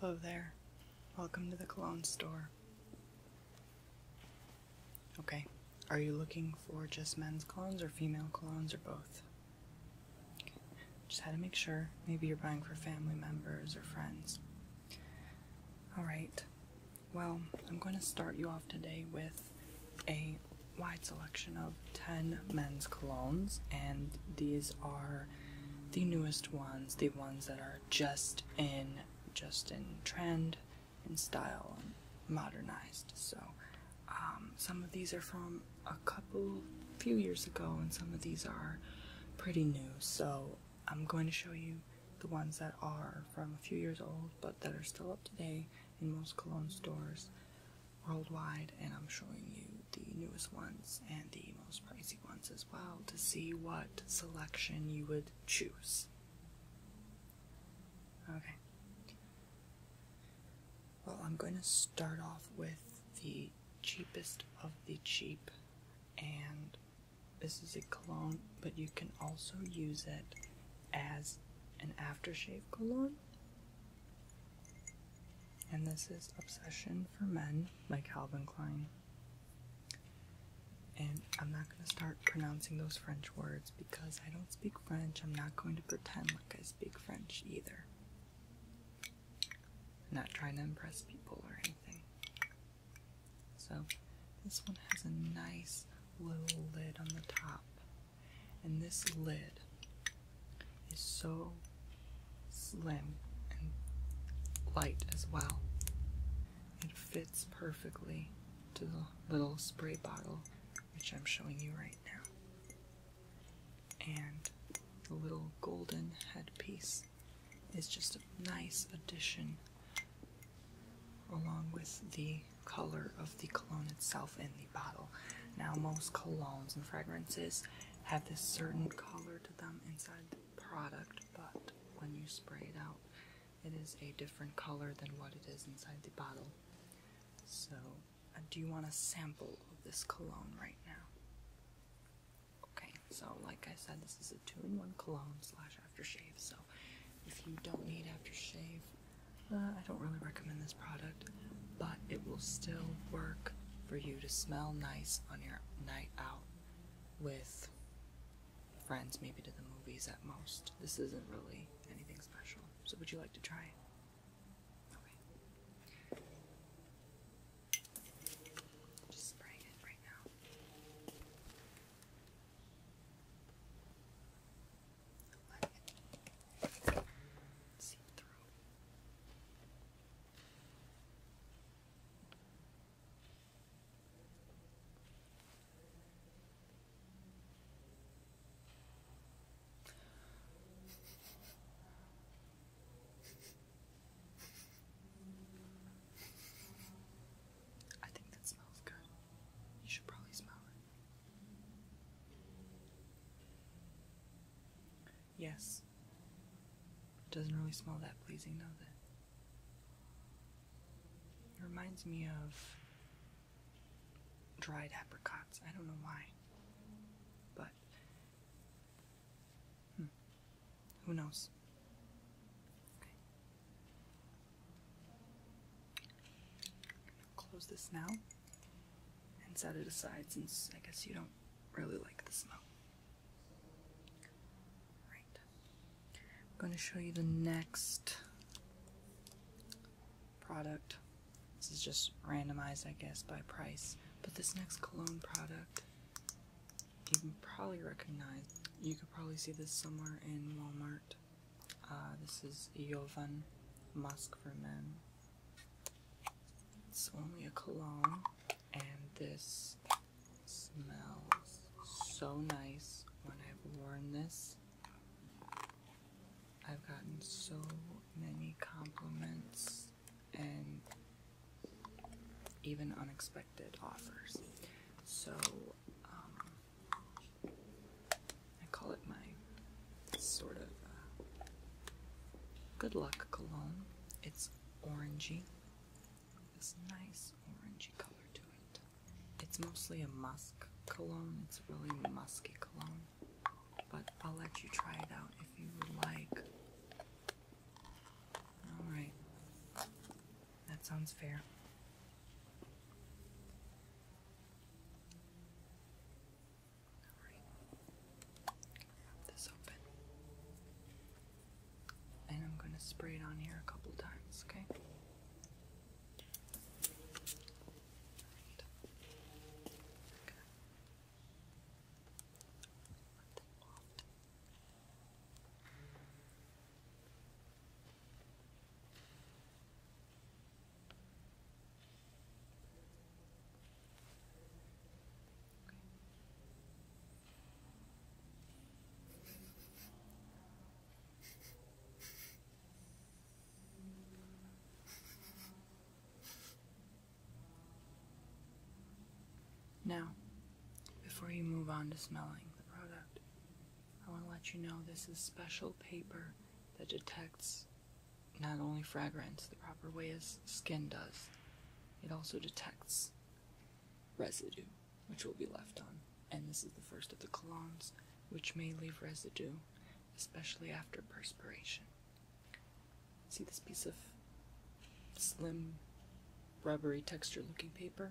Hello there. Welcome to the cologne store. Okay, are you looking for just men's colognes or female colognes or both? Just had to make sure. Maybe you're buying for family members or friends. Alright, well, I'm going to start you off today with a wide selection of 10 men's colognes, and these are the newest ones, the ones that are just in just in trend in style and modernized. So um, some of these are from a couple few years ago and some of these are pretty new. So I'm going to show you the ones that are from a few years old but that are still up to date in most cologne stores worldwide, and I'm showing you the newest ones and the most pricey ones as well to see what selection you would choose. Okay. Well, I'm going to start off with the cheapest of the cheap, and this is a cologne, but you can also use it as an aftershave cologne and this is Obsession for Men by Calvin Klein. And I'm not going to start pronouncing those French words because I don't speak French. I'm not going to pretend like I speak French either. I'm not trying to impress people or anything. So, this one has a nice little lid on the top. And this lid is so slim and light as well. It fits perfectly to the little spray bottle which I'm showing you right now. And the little golden headpiece is just a nice addition along with the color of the cologne itself in the bottle. Now most colognes and fragrances have this certain color to them inside the product, but when you spray it out, it is a different color than what it is inside the bottle. So, uh, do you want a sample of this cologne right now? Okay, so like I said, this is a two-in-one cologne slash aftershave. So, if you don't need aftershave, uh, I don't really recommend this product, but it will still work for you to smell nice on your night out with friends, maybe to the movies at most. This isn't really anything special. So, would you like to try it? Just spraying it right now. see through. I think that smells good. You should probably smell it. Yes. It doesn't really smell that pleasing, does it? It reminds me of dried apricots. I don't know why. But. Hmm, who knows? Close this now and set it aside since I guess you don't really like the smell. Right. I'm going to show you the next product. This is just randomized, I guess, by price. But this next cologne product, you can probably recognize. You could probably see this somewhere in Walmart. Uh, this is Yovan Musk for Men. It's only a cologne, and this smells so nice when I've worn this. I've gotten so many compliments and even unexpected offers. So, um, I call it my sort of uh, good luck cologne. It's orangey. This nice orangey color to it. It's mostly a musk cologne. It's really musky cologne. But I'll let you try it out if you would like. Alright. That sounds fair this open. And I'm going to spray it on here a couple times, Okay. Now, before you move on to smelling the product, I want to let you know this is special paper that detects not only fragrance the proper way as skin does, it also detects residue which will be left on. And this is the first of the colons, which may leave residue, especially after perspiration. See this piece of slim, rubbery texture looking paper?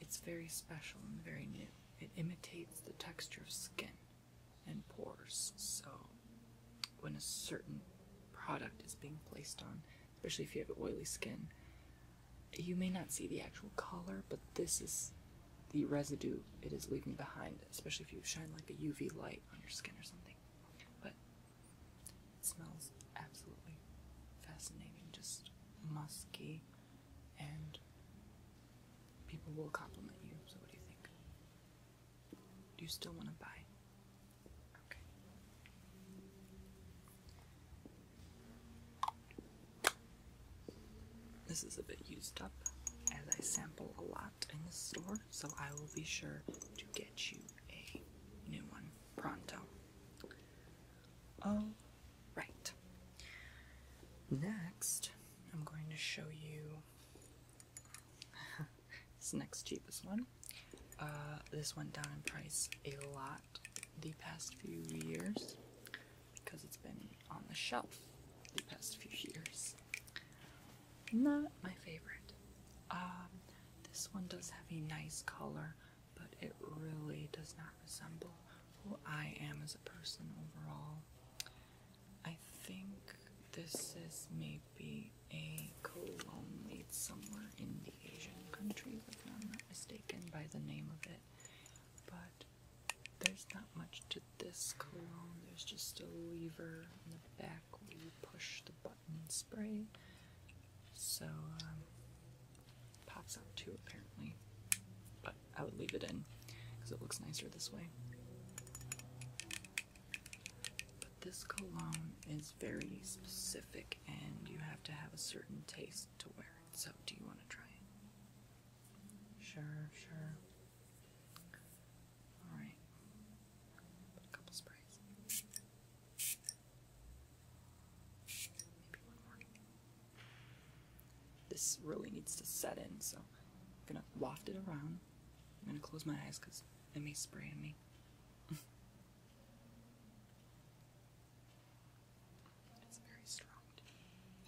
It's very special and very new. It imitates the texture of skin and pores. So, when a certain product is being placed on, especially if you have oily skin, you may not see the actual color, but this is the residue it is leaving behind, especially if you shine like a UV light on your skin or something. But it smells absolutely fascinating, just musky, and people will compliment you. So, what do you think? Do you still want to buy? Okay. This is a bit used up as I sample a lot in the store, so I will be sure to get you a new one pronto. All right. Next, I'm going to show you this next cheapest one. Uh, this went down in price a lot the past few years because it's been on the shelf the past few years. Not my favorite. Um, this one does have a nice color, but it really does not resemble who I am as a person overall. I think this is maybe a cologne made somewhere in the Asian countries, if I'm not mistaken by the name of it. But there's not much to this cologne. There's just a lever in the back where you push the button and spray. So um, pops out too apparently. But I would leave it in because it looks nicer this way. But this cologne is very specific and you have to have a certain taste to wear it. So, do you want to try it? Sure, sure. Alright. A couple sprays. Maybe one more. This really needs to set in, so I'm going to waft it around. I'm gonna close my eyes because it may spray on me. it's very strong.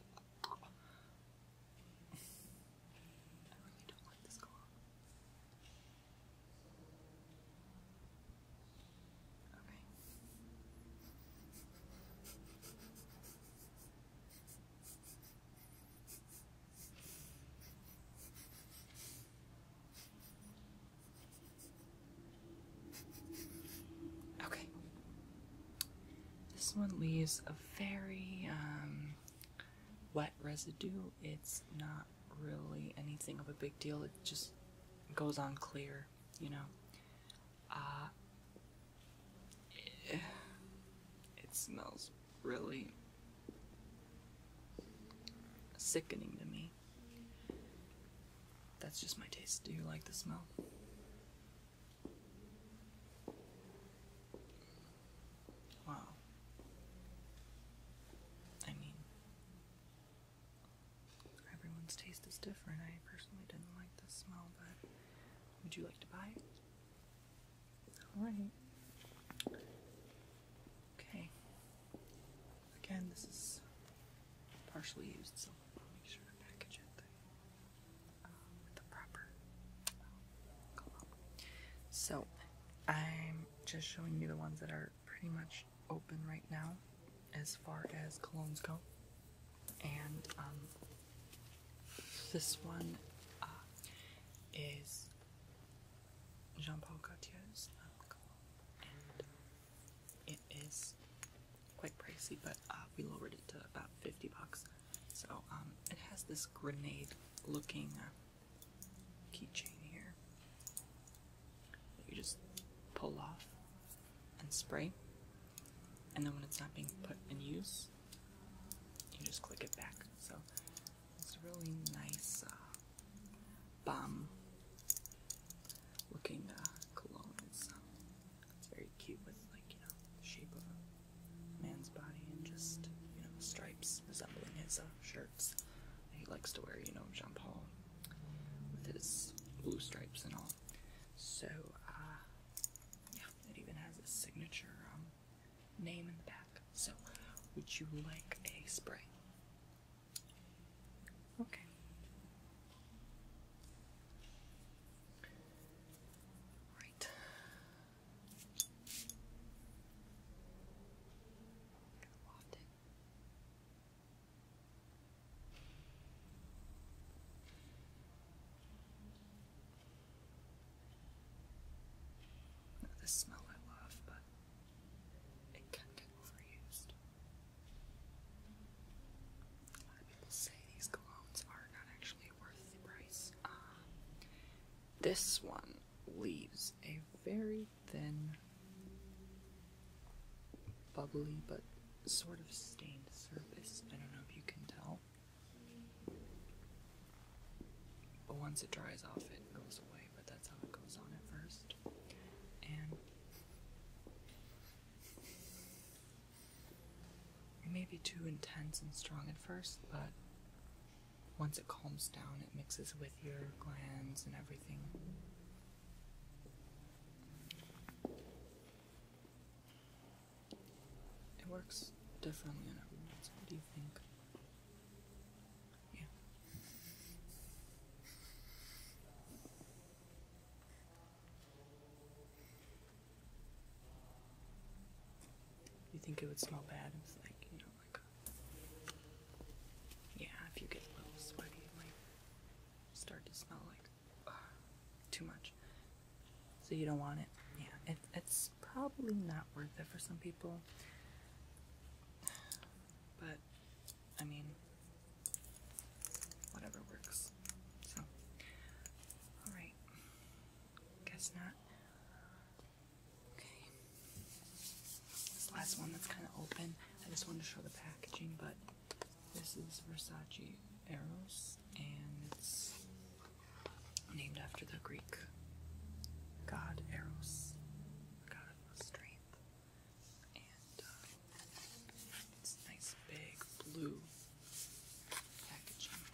I really don't like this call. Okay. Okay. This one leaves a very um, wet residue. It's not really anything of a big deal. It just goes on clear, you know. Uh, it smells really sickening to me. That's just my taste. Do you like the smell? Wow. I mean, everyone's taste is different. I personally didn't like the smell, but would you like to buy it? All right. Okay. Again, this is partially used, so i make sure to package it um, the proper glove. Um, so, I'm just showing you the ones that are pretty much open right now as far as colognes go. And um, this one uh, is Jean Paul Gaultier's uh, and it is quite pricey, but uh, we lowered it to about 50 bucks. So um, it has this grenade looking keychain here you just pull off and spray, and then when it's not being put in use, you just click it back. So it's really nice uh, looking uh, cologne. Um, it's, very cute with like you know the shape of a man's body and just you know stripes resembling his uh, shirts that he likes to wear. You know Jean Paul with his blue stripes and all. So uh, yeah, it even has a signature um, name in the back. So, would you like a spray? Okay. Right. This smell I love, but it can get overused. A lot of people say these colognes are not actually worth the price. Um, this one leaves a very thin, bubbly, but sort of stained surface. I don't know if you can tell. But once it dries off, it goes away, but that's how it goes on at first. And it may be too intense and strong at first, but once it calms down, it mixes with your glands and everything. It works differently in everyone else. What do you think? Yeah. You think it would smell bad? It's like, you know, like. Yeah, if you get a little sweaty, it might start to smell like. too much. So you don't want it. Yeah, it, it's probably not worth it for some people. But I mean, whatever works. So, alright. Guess not. Okay. This last one that's kind of open, I just wanted to show the packaging, but this is Versace Eros, and it's named after the Greek god Eros, god of strength. And uh, nice big blue packaging.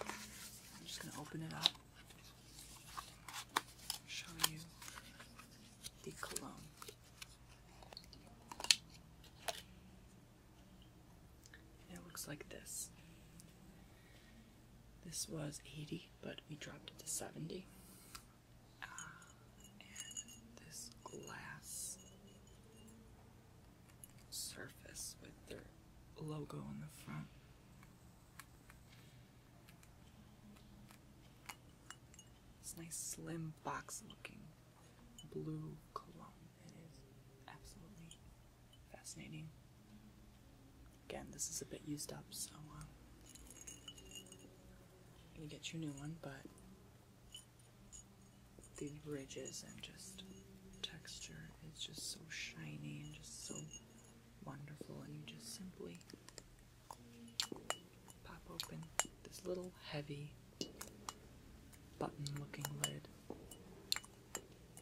I'm just going to open it up show you the cologne it looks like this. This was 80, but we dropped it to 70. Ah, and this glass surface with their logo on the front. This nice slim box looking blue cologne. It is absolutely Fascinating. Again, this is a bit used up, so uh, you get your new one, but these ridges and just texture is just so shiny and just so wonderful, and you just simply pop open this little heavy button looking lid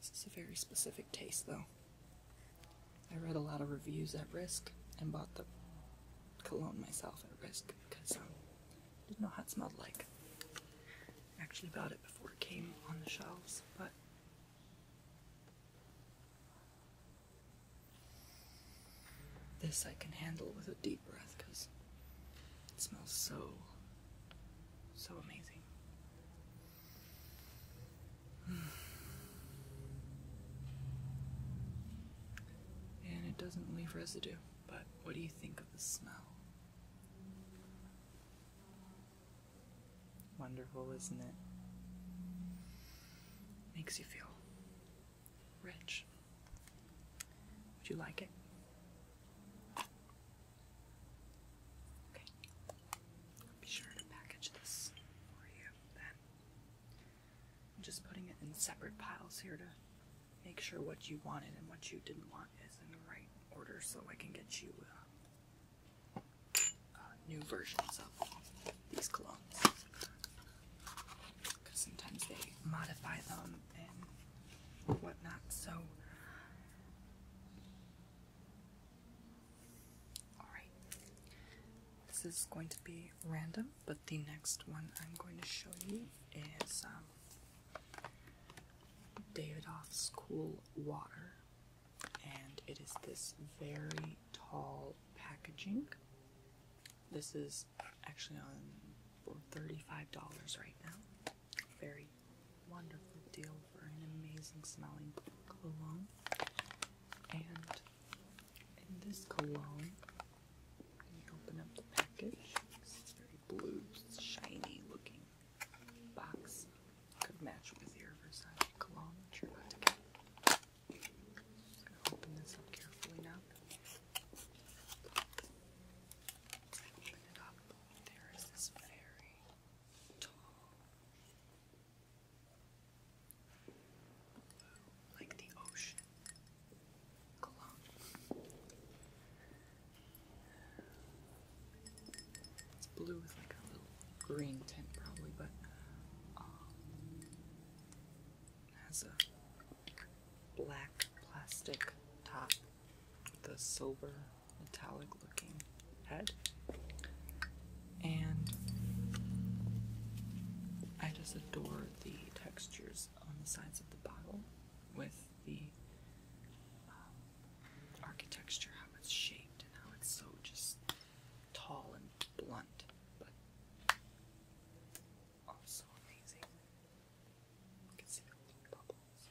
This is a very specific taste, though. I read a lot of reviews at Risk and bought the cologne myself at Risk because um, I didn't know how it smelled like. actually bought it before it came on the shelves, but. This I can handle with a deep breath because it smells so, so amazing. And it doesn't leave residue, but what do you think of the smell? Wonderful, isn't it? Makes you feel rich. Would you like it? Okay. i be sure to package this for you I'm just putting it in separate piles here to make sure what you wanted and what you didn't want is in the right order so I can get you uh, uh, new versions of these colognes. Because sometimes they modify them and whatnot, so Alright, this is going to be random, but the next one I'm going to show you is um, Davidoff's Cool Water, and it is this very tall packaging. This is actually on for $35 right now. Very wonderful deal for an amazing smelling cologne. And in this cologne, when open up the package, very blue, shiny looking box could match with your Versace cologne open this up carefully now. Open it up. There is this very tall. Blue, like the ocean. It's blue with like a little green tint probably, but um, has a black plastic top The a silver metallic looking head. And I just adore the textures on the sides of the bottle with the um, architecture, how it's shaped, and how it's so just tall and blunt, but also amazing. You can see The bubbles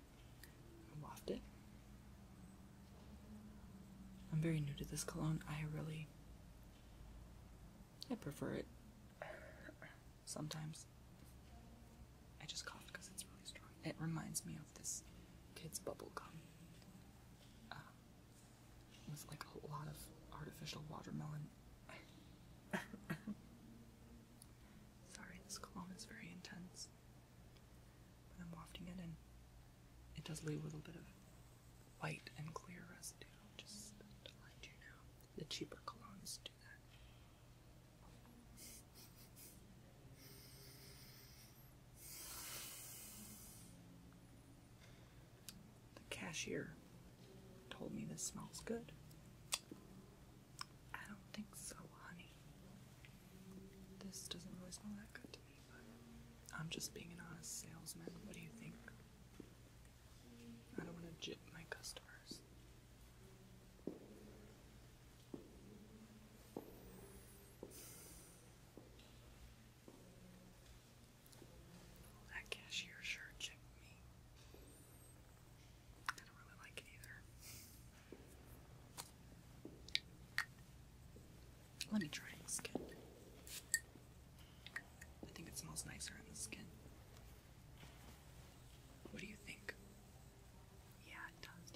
Waft I'm very new to this cologne. I really. I prefer it. Sometimes. I just cough because it's really strong. It reminds me of this kid's bubble gum. Uh, with like a lot of artificial watermelon. Sorry, this cologne is very intense. I'm wafting it and it does leave a little bit of white and clear residue, just The cheaper colognes do that. The cashier told me this smells good. I don't think so, honey. This doesn't really smell that good to me, but I'm just being an honest salesman. What do you think? I don't want to jip my customers. that cashier sure jipped me. I don't really like it either. Let me try and skin. I think it smells nicer in the skin. What do you think? Yeah, it does.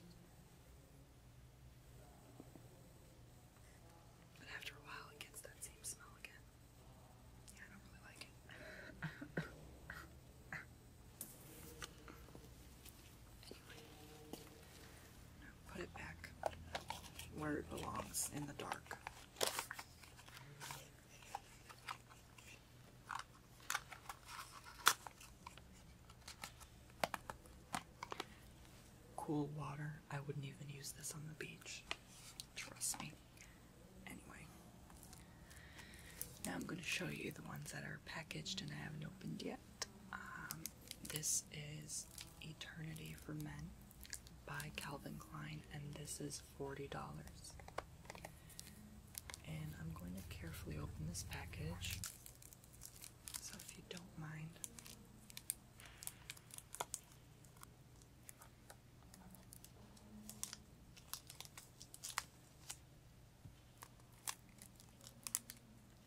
But after a while, it gets that same smell again. Yeah, I don't really like it. Put it back where it belongs in the dark. Cool water. I wouldn't even use this on the beach. Trust me. Anyway. Now I'm going to show you the ones that are packaged and I haven't opened yet. Um, this is Eternity for Men by Calvin Klein, and this is $40. And I'm going to carefully open this package. So, if you don't mind,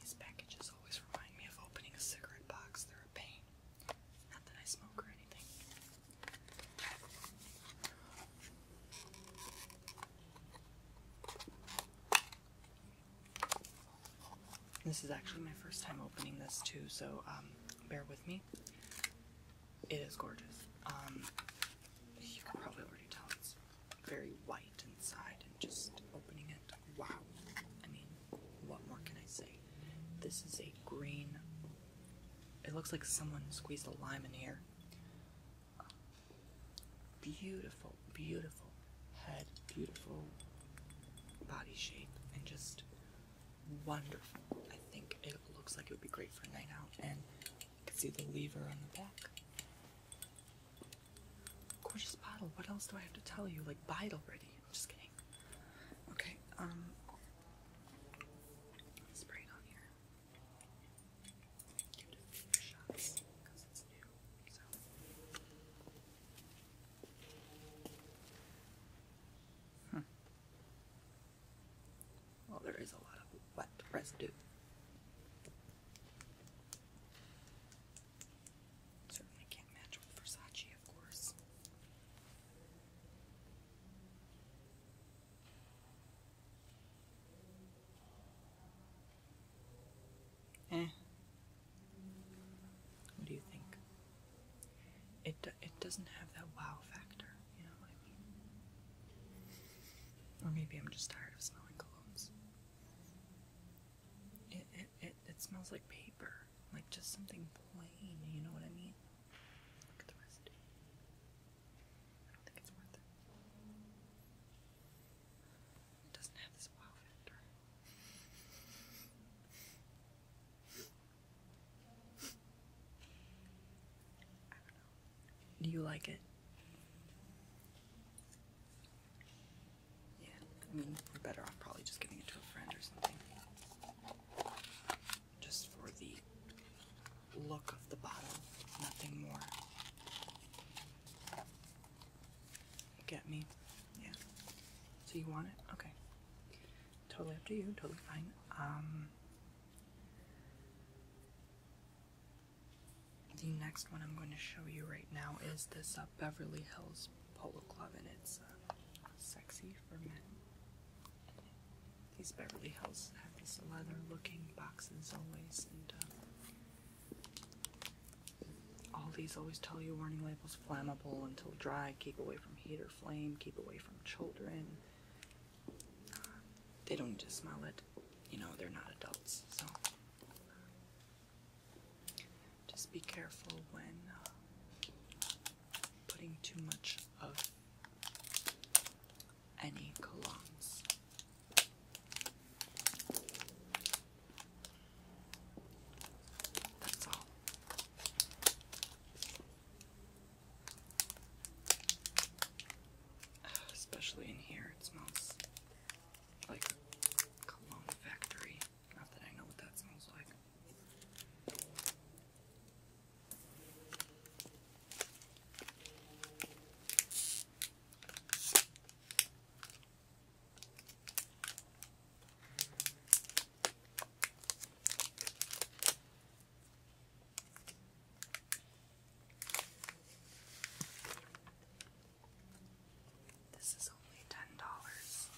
These packages always remind me of opening a cigarette box. They're a pain. Not that I smoke or anything. This is actually my first time opening this too, so um, bear with me. It is gorgeous. Um, you can probably already tell it's very white inside, and just opening it, wow. I mean, what more can I say? This is a green. It looks like someone squeezed a lime in here. Beautiful, beautiful head, beautiful body shape, and just wonderful. I think it looks like it would be great for a night out. And you can see the lever on the back. Gorgeous bottle. What else do I have to tell you? Like, buy it already. I'm just kidding. Okay, um, on here. shots because it's new. So. Hmm. Well, there is a lot of wet residue. Certainly can't match with Versace, of course. Eh. What do you think? It it doesn't have that wow factor. You know what I mean? Or maybe I'm just tired of smelling colognes. It, it, it, it smells like paper. Like just something plain, you know what I mean? Look at the residue. I don't think it's worth it. It doesn't have this wow factor. I don't know. Do you like it? Yeah, I mean, we're better off probably just giving it to a friend or something. Just for the look of the bottle, nothing more. Get me? Yeah. So you want it? Okay. Totally up to you, totally fine. Um the next one I'm going to show you right now is this uh, Beverly Hills Polo Club, and it's uh, sexy for men. These Beverly Hills have these leather-looking boxes always, and uh, all these always tell you warning labels: flammable until dry, keep away from heat or flame, keep away from children. They don't just smell it. You know, they're not adults, so just be careful when uh, putting too much of any colognes. That's all. Especially in here, it smells like cologne factory. Not that I know what that smells like. This is only ten dollars,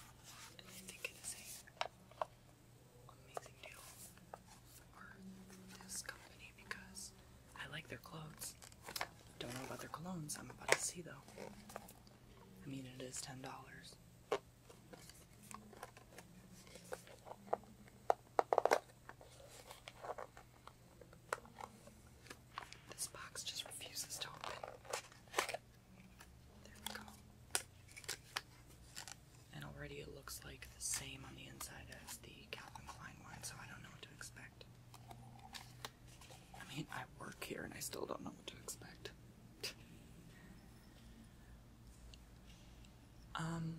I think it is a amazing deal for this company because I like their clothes. Don't know about their colognes. I'm about to see though. I mean, it is ten dollars. This box just refuses to open. There we go. And already it looks like the same on the inside as the Calvin Klein one, so I don't know what to expect. I mean, I work here and I still don't know what to expect. um,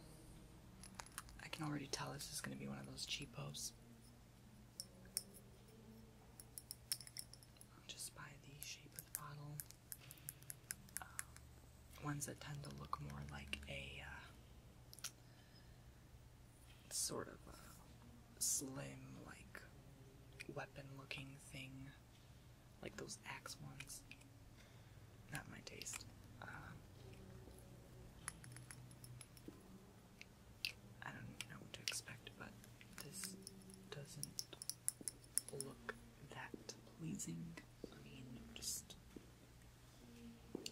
I can already tell this is going to be one of those cheapos. just buy the shape of the bottle. Um, ones that tend to look more like a uh, sort of a slim, like weapon looking thing, like those axe ones. Not my taste. Uh, I don't know what to expect, but this doesn't look that pleasing. I mean, just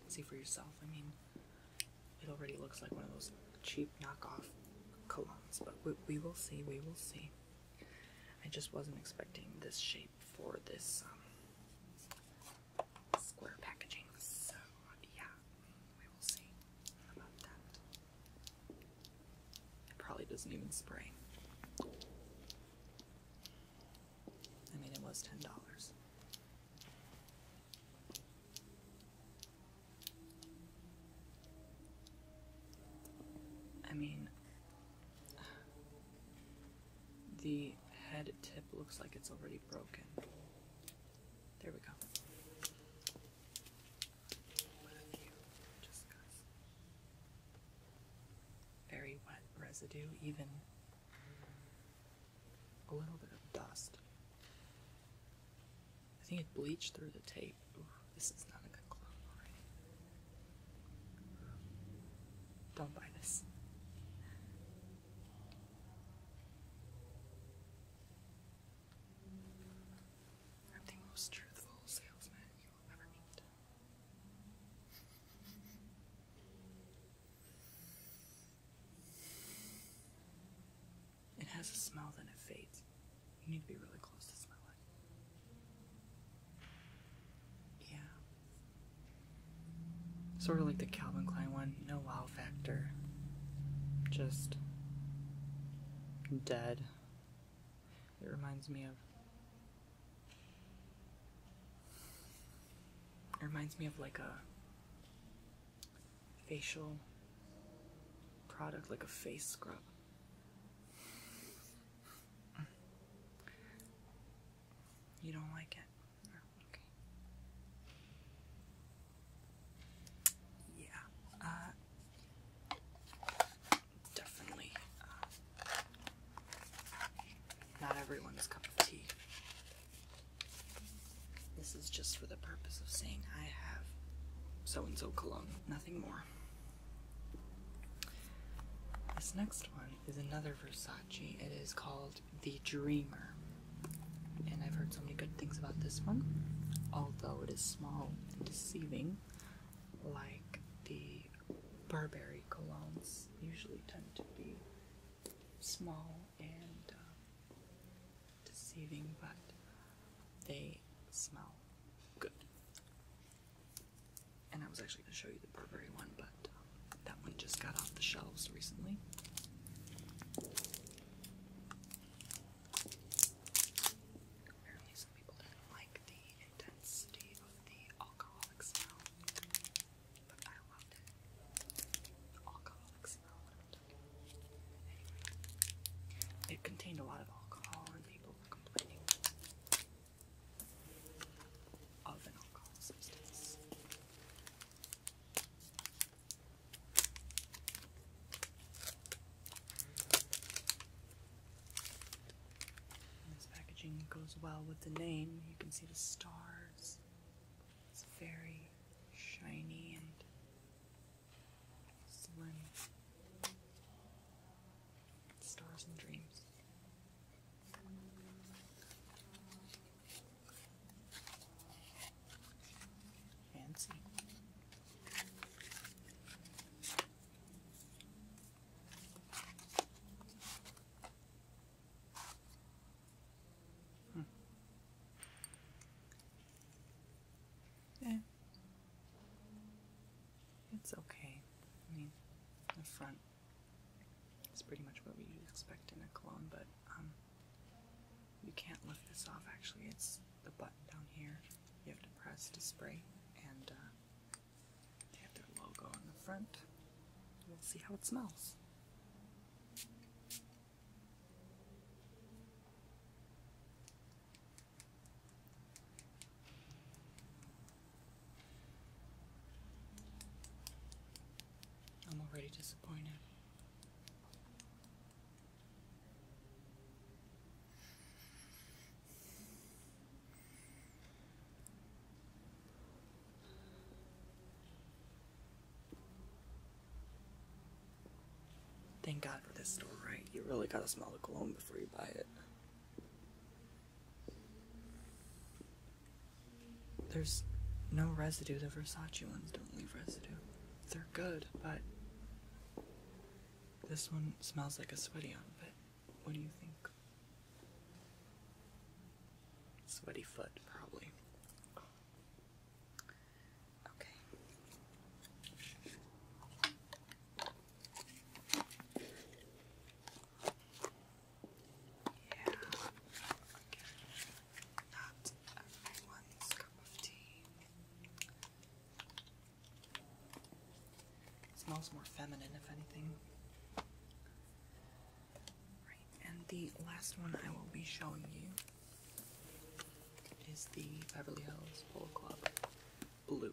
see for yourself. I mean, it already looks like one of those cheap knockoff colognes, but we, we will see, we will see. I just wasn't expecting this shape for this um, square packaging. So, yeah, we will see about that. It probably doesn't even spray. I mean, it was $10. I mean, the head tip looks like it's already broken. There we go. Very wet residue, even a little bit of dust. I think it bleached through the tape. this is not a good clone don't buy this. I'm the most truthful salesman you will ever meet. It has a smell, then it fades. You need to be really close to smell it. Yeah. Sort of like the Calvin Klein one, no wow factor. Just dead. It reminds me of. It reminds me of like a facial product, like a face scrub. You don't like it? Yeah. Uh, definitely. Uh, not everyone's cup of tea. This is just for the purpose of saying I have so and so cologne, nothing more. This next one is another Versace it is called The Dreamer. And I've heard so many good things about this one. Although it is small and deceiving, like the Burberry colognes usually tend to be small and uh, deceiving, but they smell good. And I was actually going to show you the Burberry one, but um, that one just got off the shelves recently. Apparently, some people didn't like the intensity of the alcoholic smell, but I loved it. The smell, it contained a lot of alcohol, and people were complaining. This packaging goes well with the name. You can see the stars. It's very shiny and slim. Stars and dreams. Fancy. Hmm. Yeah. It's okay. I mean, the front it's pretty much what we expect in a cologne, but um, you can't lift this off actually. It's the button down here you have to press to spray, and uh, they have their logo on the front. We'll see how it smells. I'm already disappointed. Thank God for this store, right? You really gotta smell the cologne before you buy it. There's no residue. The Versace ones don't leave residue. They're good, but this one smells like a sweaty on, what do you think? Sweaty foot, probably. Okay smells more feminine, if anything. and the last one I will be showing you is the Beverly Hills Polo Club Blue.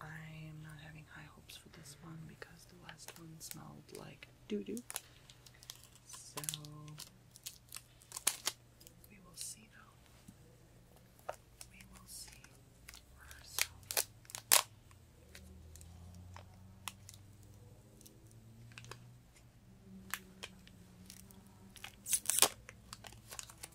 I am not having high hopes for this one because the last one smelled like doo doo. So we will see though. We will see for ourselves.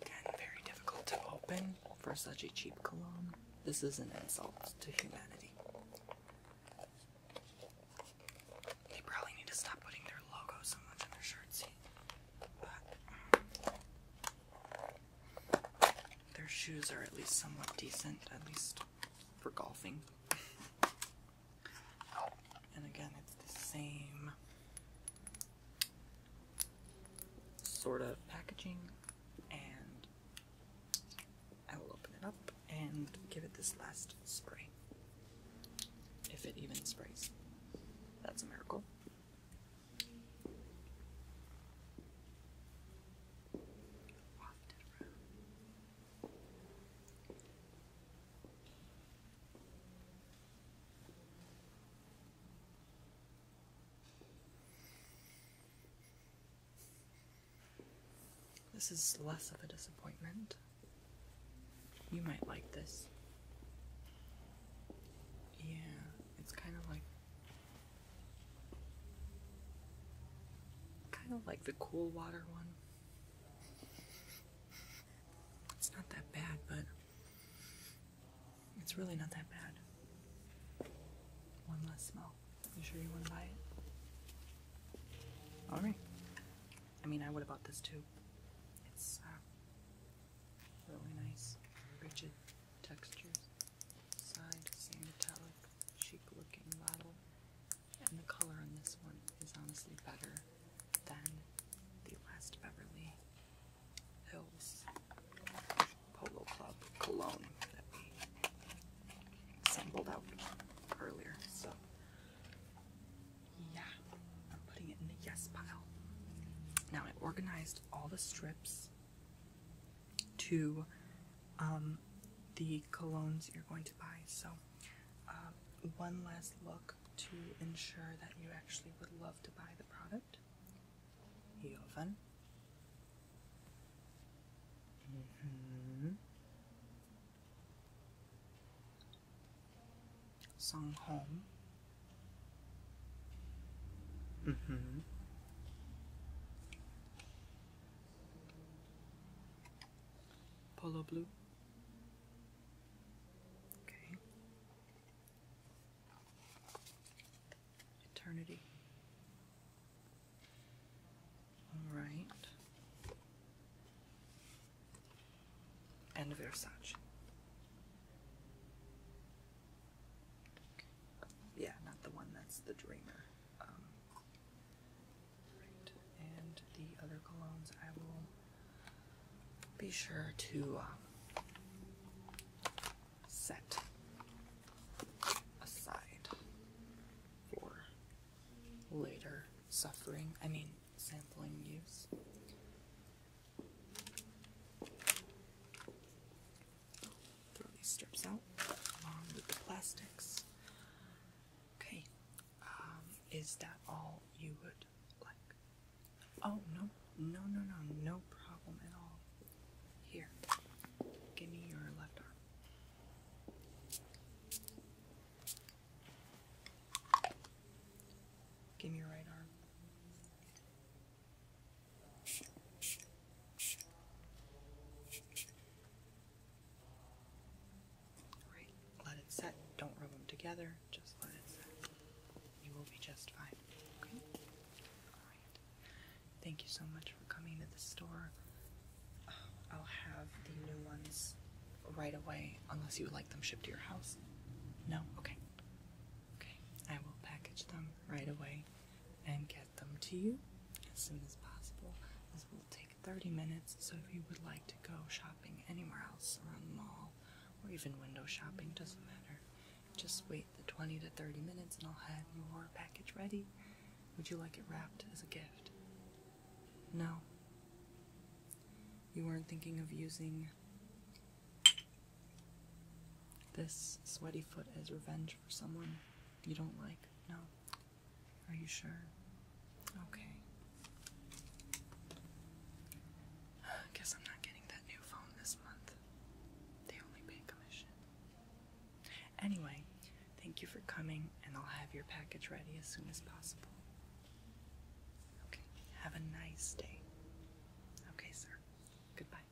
again, very difficult to open for such a cheap cologne. This is an insult to humanity. They probably need to stop putting their logo so much on their shirts. But um, their shoes are at least somewhat decent, at least for golfing. And again, it's the same sort of packaging. And I will open it up and give it this last spray. If it even sprays. That's a miracle. This is less of a disappointment. You might like this. Yeah, it's kind of like Kind of like the cool water one. It's not that bad, but it's really not that bad. One less smell. You sure you want to buy it? All right. I mean, I would have bought this too. It's uh, really nice, rigid textures, side, same metallic chic looking bottle. And the color on this one is honestly better than the last Beverly Hills Polo Club cologne that we sampled out earlier. So, yeah, I'm putting it in the yes pile. Now I organized all the strips to um, the colognes you're going to buy. So, uh, one last look to ensure that you actually would love to buy the product. Jovan. Mm-hmm. Song Home. Mm-hmm. Polo blue. Okay. Eternity. All right. And Versace. Yeah, not the one that's the dreamer. Um, and the other colognes I will be sure to um, set aside for later suffering, I mean, sampling use. Throw these strips out along with the plastics. Okay, um, is that all you would like? Oh, no, no, no, no, no problem at all. Here, give me your left arm. Give me your right arm. Right, let it set. Don't rub them together, just let it set. You will be just fine. Okay? Alright. Thank you so much for coming to the store. I'll have the new ones right away, unless you would like them shipped to your house. No? Okay. Okay. I will package them right away and get them to you as soon as possible. This will take 30 minutes, so if you would like to go shopping anywhere else around the mall or even window shopping, doesn't matter. Just wait the 20 to 30 minutes and I'll have your package ready. Would you like it wrapped as a gift? No. You weren't thinking of using this sweaty foot as revenge for someone you don't like? No. Are you sure? Okay. Guess I'm not getting that new phone this month. They only pay commission. Anyway, thank you for coming, and I'll have your package ready as soon as possible. Okay, have a nice day. Okay, sir. Goodbye.